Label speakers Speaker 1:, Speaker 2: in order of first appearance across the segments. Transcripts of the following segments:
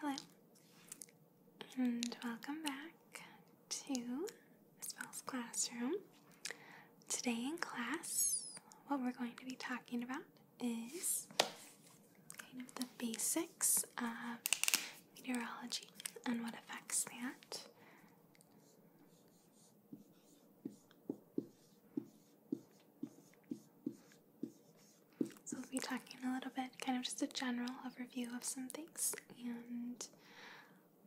Speaker 1: Hello, and welcome back to Miss Bell's Classroom. Today in class, what we're going to be talking about is kind of the basics of meteorology and what affects that. So we'll be talking a little bit, kind of just a general overview of some things, and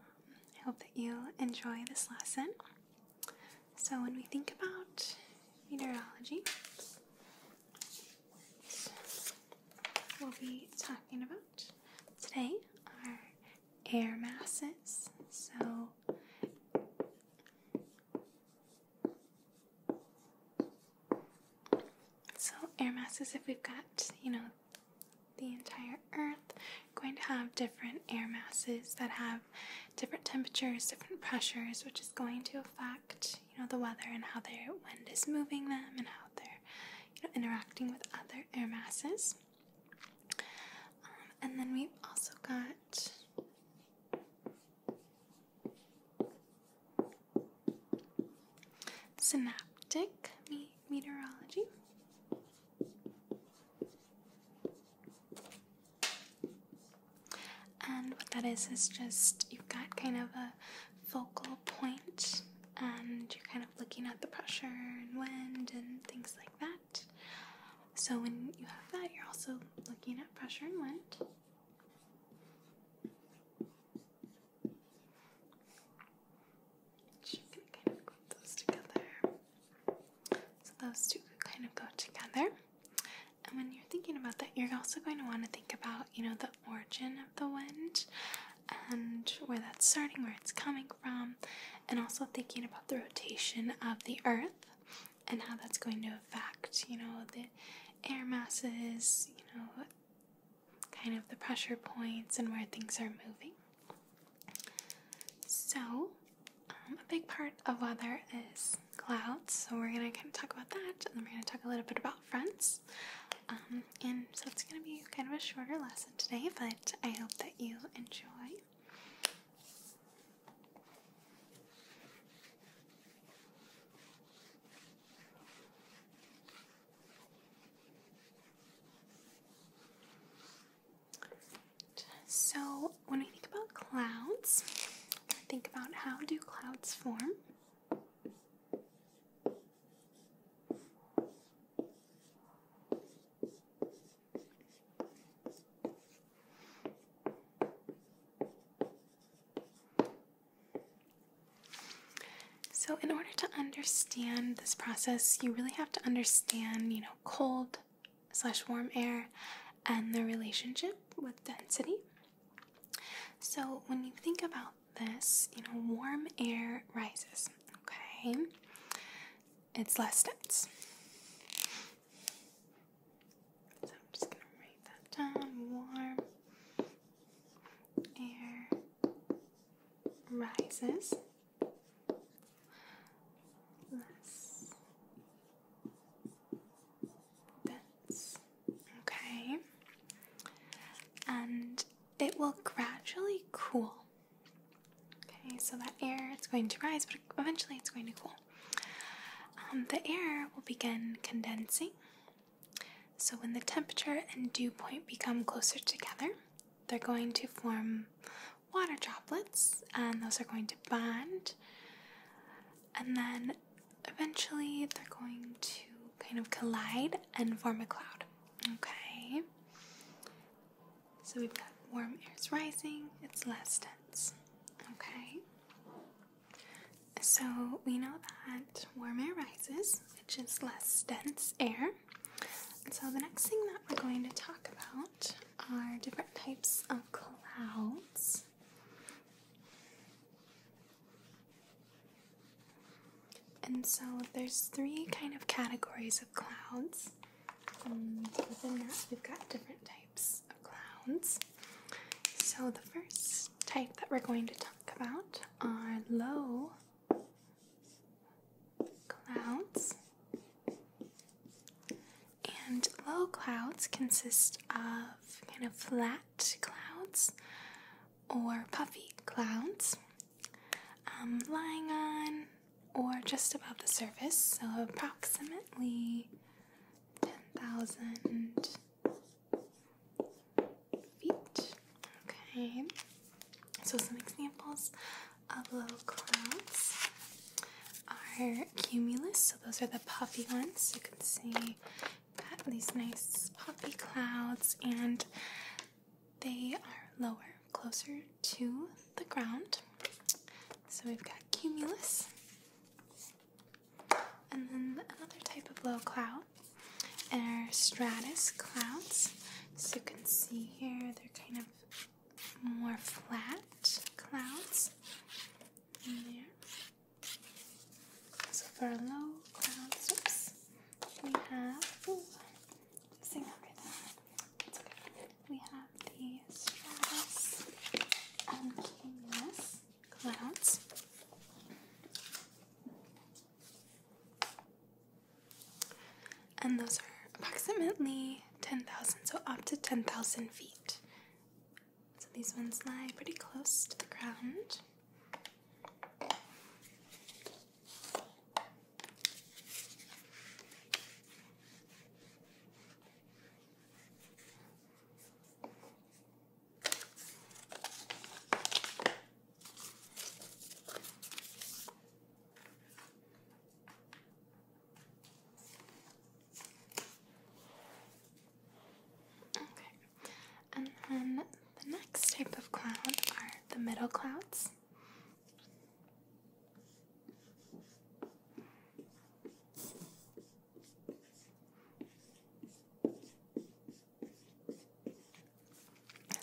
Speaker 1: um, I hope that you enjoy this lesson. So when we think about meteorology, we'll be talking about today our air masses. So so air masses, if we've got, you know, the entire Earth, going to have different air masses that have different temperatures, different pressures, which is going to affect, you know, the weather and how their wind is moving them and how they're, you know, interacting with other air masses. Um, and then we've also got Synoptic meteorology. And what that is is just you've got kind of a focal point and you're kind of looking at the pressure and wind and things like that. So when you have that, you're also looking at pressure and wind. She can kind of group together. So those two kind of go together. And when you're thinking about that, you're also going to want to think about, you know, the origin of the wind and where that's starting, where it's coming from, and also thinking about the rotation of the earth and how that's going to fact, you know, the air masses, you know, kind of the pressure points and where things are moving. So, um, a big part of weather is clouds, so we're gonna kind of talk about that, and then we're gonna talk a little bit about fronts. Um, and so it's gonna be kind of a shorter lesson today, but I hope that you enjoy. So when I think about clouds, I think about how do clouds form? So in order to understand this process, you really have to understand, you know, cold slash warm air and the relationship with density. So when you think about this, you know, warm air rises, okay? It's less dense. So I'm just going to write that down. Warm air rises less dense. Okay. And it will gradually cool. Okay, so that air it's going to rise, but eventually it's going to cool. Um, the air will begin condensing. So, when the temperature and dew point become closer together, they're going to form water droplets, and those are going to bond. And then eventually, they're going to kind of collide and form a cloud. Okay? So, we've got warm air's rising, it's less dense. Okay? So we know that warm air rises, which is less dense air. so the next thing that we're going to talk about are different types of clouds. And so there's three kind of categories of clouds. And within that, we've got different types of clouds. So, the first type that we're going to talk about are low clouds. And low clouds consist of kind of flat clouds or puffy clouds um, lying on or just above the surface, so approximately 10,000 Okay, so some examples of low clouds are cumulus. So those are the puffy ones. You can see these nice puffy clouds, and they are lower, closer to the ground. So we've got cumulus. And then another type of low cloud are stratus clouds. So you can see here they're kind of more flat clouds So for our low clouds, we have We have the stratus and cumulus clouds. And those are approximately 10,000, so up to 10,000 feet. So these ones lie pretty close to the ground. Okay, and then the next type of cloud are the middle clouds.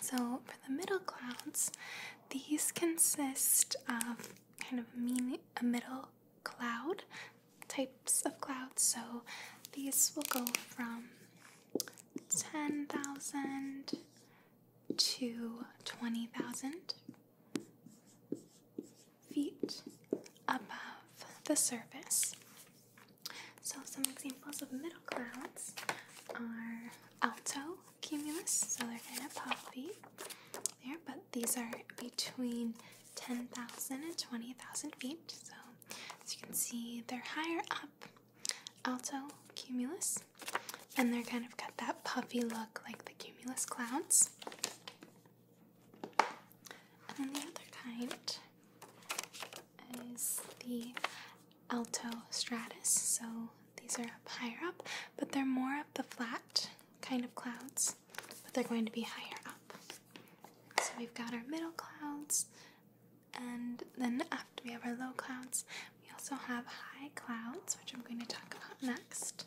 Speaker 1: So, for the middle clouds, these consist of kind of mean, a middle cloud types of clouds. So, these will go from 10,000 to 20,000 feet above the surface. So, some examples of middle clouds are alto cumulus, so they're kind of puffy there, but these are between 10,000 and 20,000 feet. So, as you can see, they're higher up, alto cumulus, and they're kind of got that puffy look like the cumulus clouds. And the other kind is the Alto Stratus. So these are up higher up, but they're more of the flat kind of clouds, but they're going to be higher up. So we've got our middle clouds, and then after we have our low clouds, we also have high clouds, which I'm going to talk about next.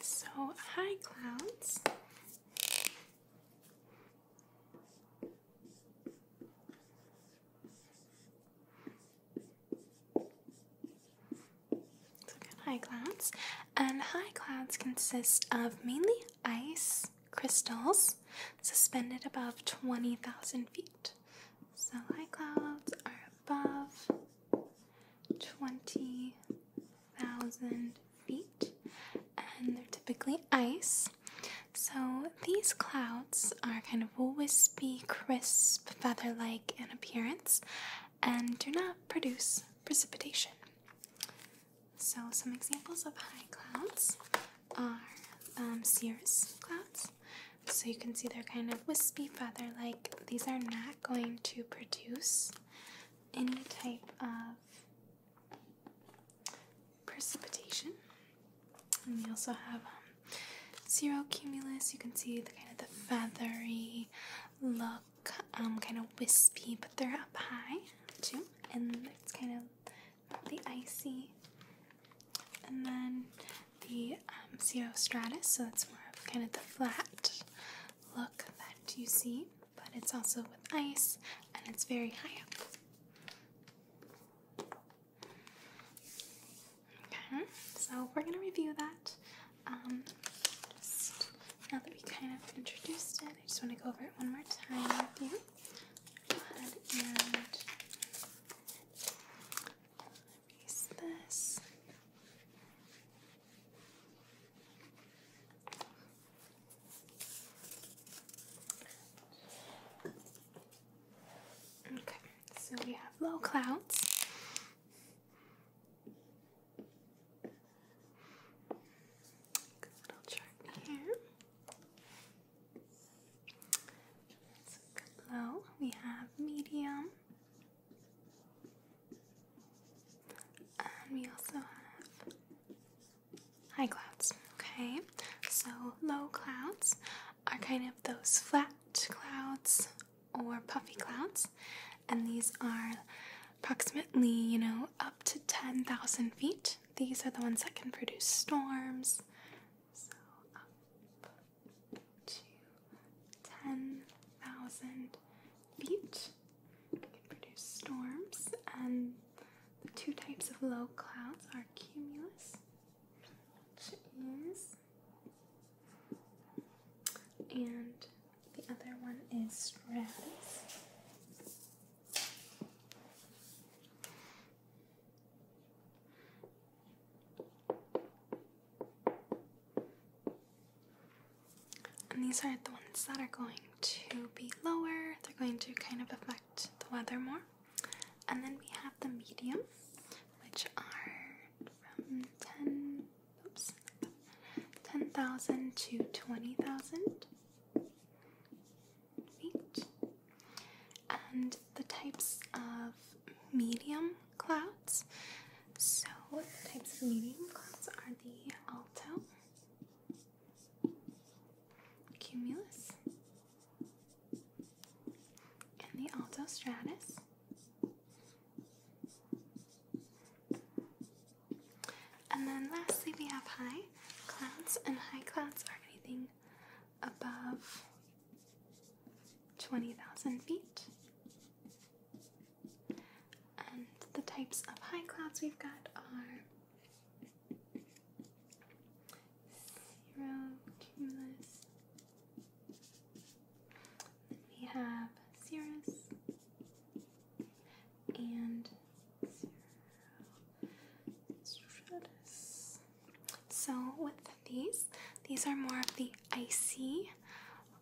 Speaker 1: so high clouds. So high clouds. And high clouds consist of mainly ice crystals suspended above 20,000 feet. So high clouds are above twenty thousand feet, and they're typically ice. So these clouds are kind of wispy, crisp, feather like in appearance and do not produce precipitation. So, some examples of high clouds are um, cirrus clouds. So, you can see they're kind of wispy, feather like. These are not going to produce any type of precipitation. And we also have um, zero cumulus. You can see the kind of the feathery look, um, kind of wispy, but they're up high too, and it's kind of the icy. And then the um, stratus, so that's more of kind of the flat look that you see, but it's also with ice and it's very high up. Okay, so we're gonna review that. Um, now that we kind of introduced it, I just want to go over it one more time with you. Go ahead and erase this. Okay, so we have low clouds. Good little chart here. That's a good low. We have medium. And um, we also have high clouds. Okay, so low clouds are kind of those flat clouds or puffy clouds, and these are approximately, you know, up to 10,000 feet. These are the ones that can produce storms to 10,000 feet. It can produce storms, and the two types of low clouds are cumulus, which is, and the other one is stratus. And these are the ones that are going to be lower, they're going to kind of affect the weather more. And then we have the medium, which are from 10 oops 10,000 to 20,000 feet. And the types of medium clouds. So, what types of medium clouds are the alto, cumulus, and the alto stratus. And then lastly, we have high clouds, and high clouds are anything above 20,000 feet. And the types of high clouds we've got are zero, cumulus. we have cirrus and stratus. So with these, these are more of the icy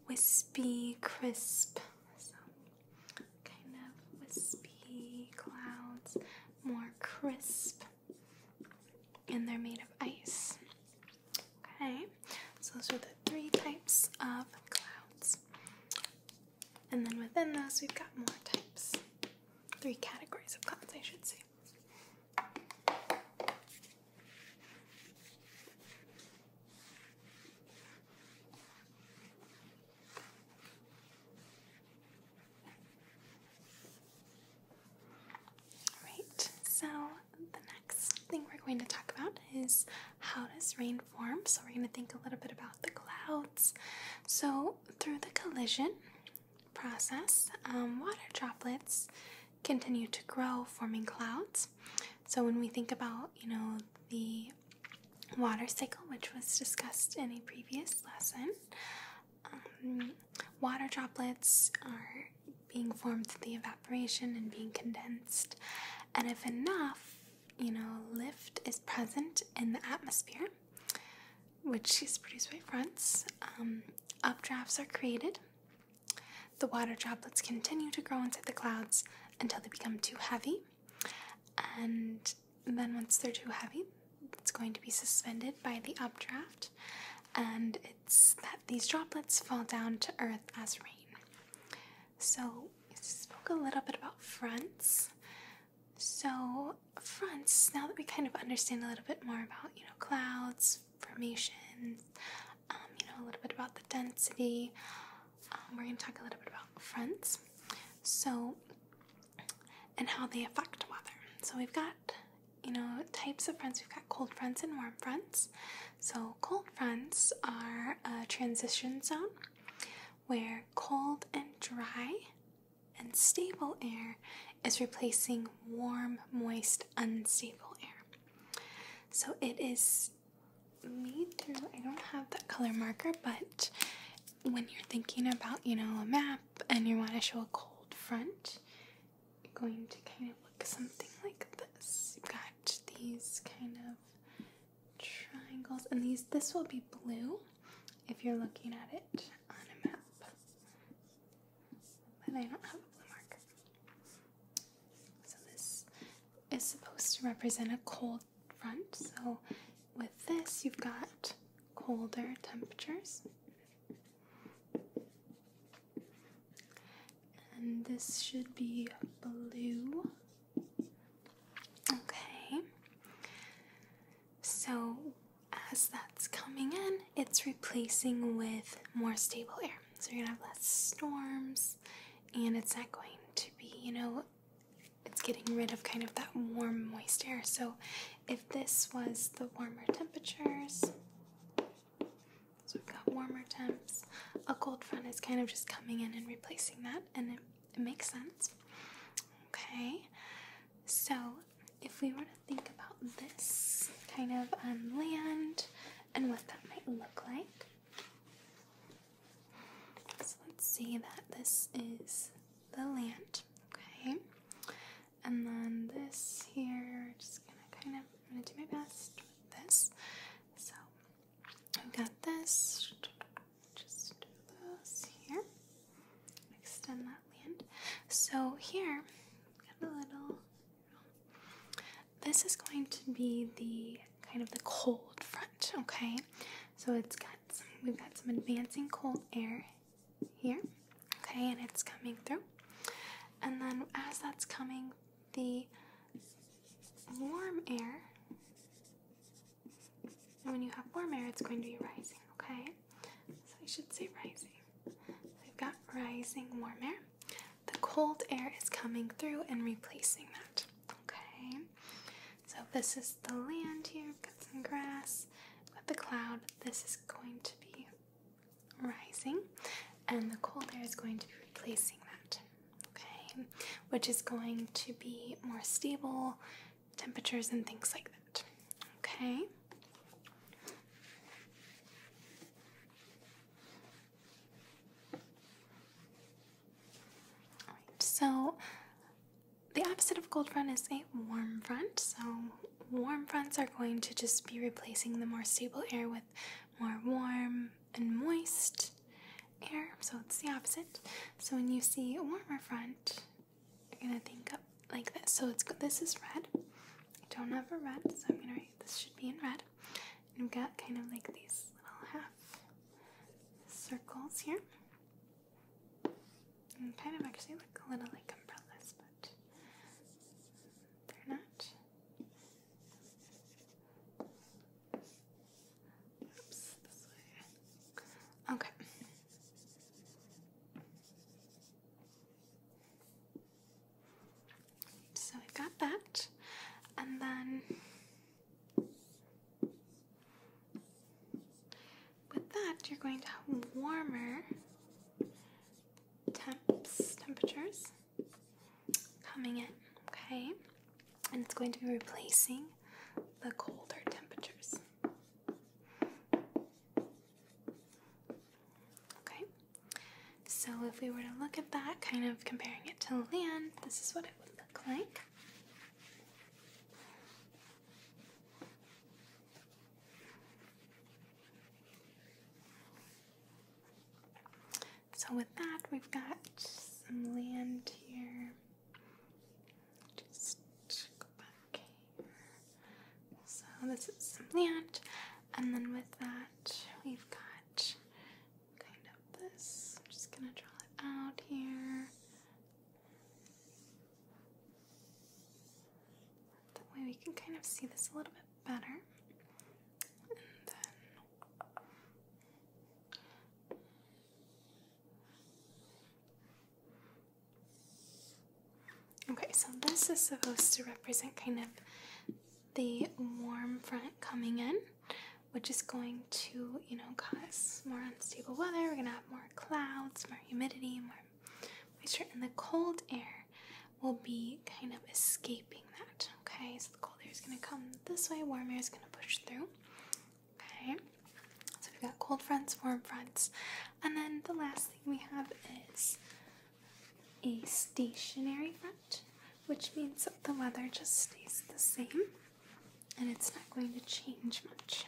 Speaker 1: wispy, crisp, kind of wispy clouds, more crisp, and they're made of ice. Okay, so those are the three types of clouds, and then within those, we've got more types three categories of clouds, I should say. Alright, so the next thing we're going to talk about is how does rain form? So we're going to think a little bit about the clouds. So through the collision process, um, water droplets continue to grow, forming clouds. So when we think about, you know, the water cycle, which was discussed in a previous lesson, um, water droplets are being formed through the evaporation and being condensed. And if enough, you know, lift is present in the atmosphere, which is produced by fronts, um, updrafts are created the water droplets continue to grow inside the clouds until they become too heavy, and then once they're too heavy, it's going to be suspended by the updraft, and it's that these droplets fall down to earth as rain. So, spoke a little bit about fronts. So, fronts, now that we kind of understand a little bit more about, you know, clouds, formations, um, you know, a little bit about the density. Um, we're going to talk a little bit about fronts, so and how they affect weather. So we've got you know types of fronts. We've got cold fronts and warm fronts. So cold fronts are a transition zone where cold and dry and stable air is replacing warm, moist, unstable air. So it is made through, I don't have that color marker, but when you're thinking about, you know, a map and you want to show a cold front, you're going to kind of look something like this. You've got these kind of triangles, and these, this will be blue if you're looking at it on a map. But I don't have a blue marker. So this is supposed to represent a cold front. So with this, you've got colder temperatures. And this should be blue. Okay. So as that's coming in, it's replacing with more stable air. So you're gonna have less storms, and it's not going to be, you know, it's getting rid of kind of that warm, moist air. So if this was the warmer temperatures, so we've got warmer temps, a cold front is kind of just coming in and replacing that, and it, it makes sense. Okay, so if we were to think about this kind of on um, land, and what that might look like. So let's see that this is the land, okay? And then this here, just gonna kind of, I'm gonna do my best with this. So I've got this, just do those here, extend that land. So here, got a little. This is going to be the kind of the cold front, okay? So it's got some, we've got some advancing cold air here, okay, and it's coming through. And then as that's coming, the warm air, and when you have warm air, it's going to be rising, okay? So I should say rising. we've got rising warm air the cold air is coming through and replacing that. Okay, so this is the land here. got some grass with the cloud. This is going to be rising, and the cold air is going to be replacing that. Okay, which is going to be more stable temperatures and things like that. Okay so the opposite of cold front is a warm front. So, warm fronts are going to just be replacing the more stable air with more warm and moist air. So, it's the opposite. So, when you see a warmer front, you're going to think of like this. So, it's this is red. don't have a red, so I'm going to write this should be in red. And we've got kind of like these little half circles here. And kind of actually look a little like umbrellas, but they're not. Oops, this way. Okay. So we've got that, and then with that, you're going to have warmer temps, temperatures coming in, okay? And it's going to be replacing the colder temperatures. Okay, so if we were to look at that, kind of comparing it to land, this is what it would look like. So, with that, we've got some land here. Just go back here. So, this is some land, and then with that, we've got Kind of this. I'm just gonna draw it out here. That way we can kind of see this a little bit better. Okay, so this is supposed to represent kind of the warm front coming in, which is going to, you know, cause more unstable weather. We're going to have more clouds, more humidity, more moisture, and the cold air will be kind of escaping that. Okay, so the cold air is going to come this way, warm air is going to push through. Okay, so we've got cold fronts, warm fronts, and then the last thing we have is a stationary front, which means that the weather just stays the same and it's not going to change much.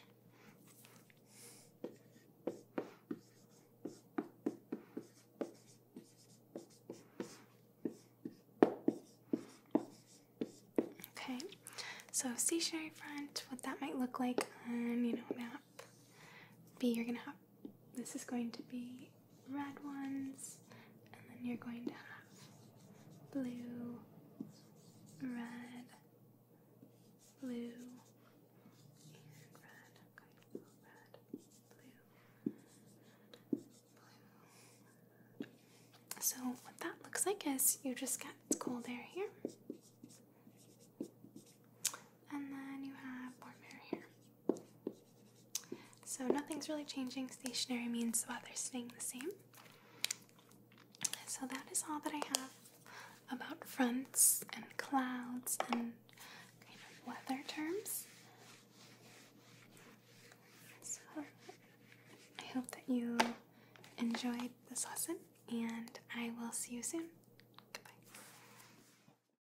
Speaker 1: Okay, so stationary front, what that might look like on, you know, map. B, you're gonna have this is going to be red ones, and then you're going to have blue, red, blue, and red. I'm red, blue, blue. So, what that looks like is you just get cold air here. And then you have warm air here. So nothing's really changing. Stationary means the weather's staying the same. So that is all that I have about fronts and clouds and kind of weather terms. So I hope that you enjoyed this lesson and I will see you soon. Goodbye.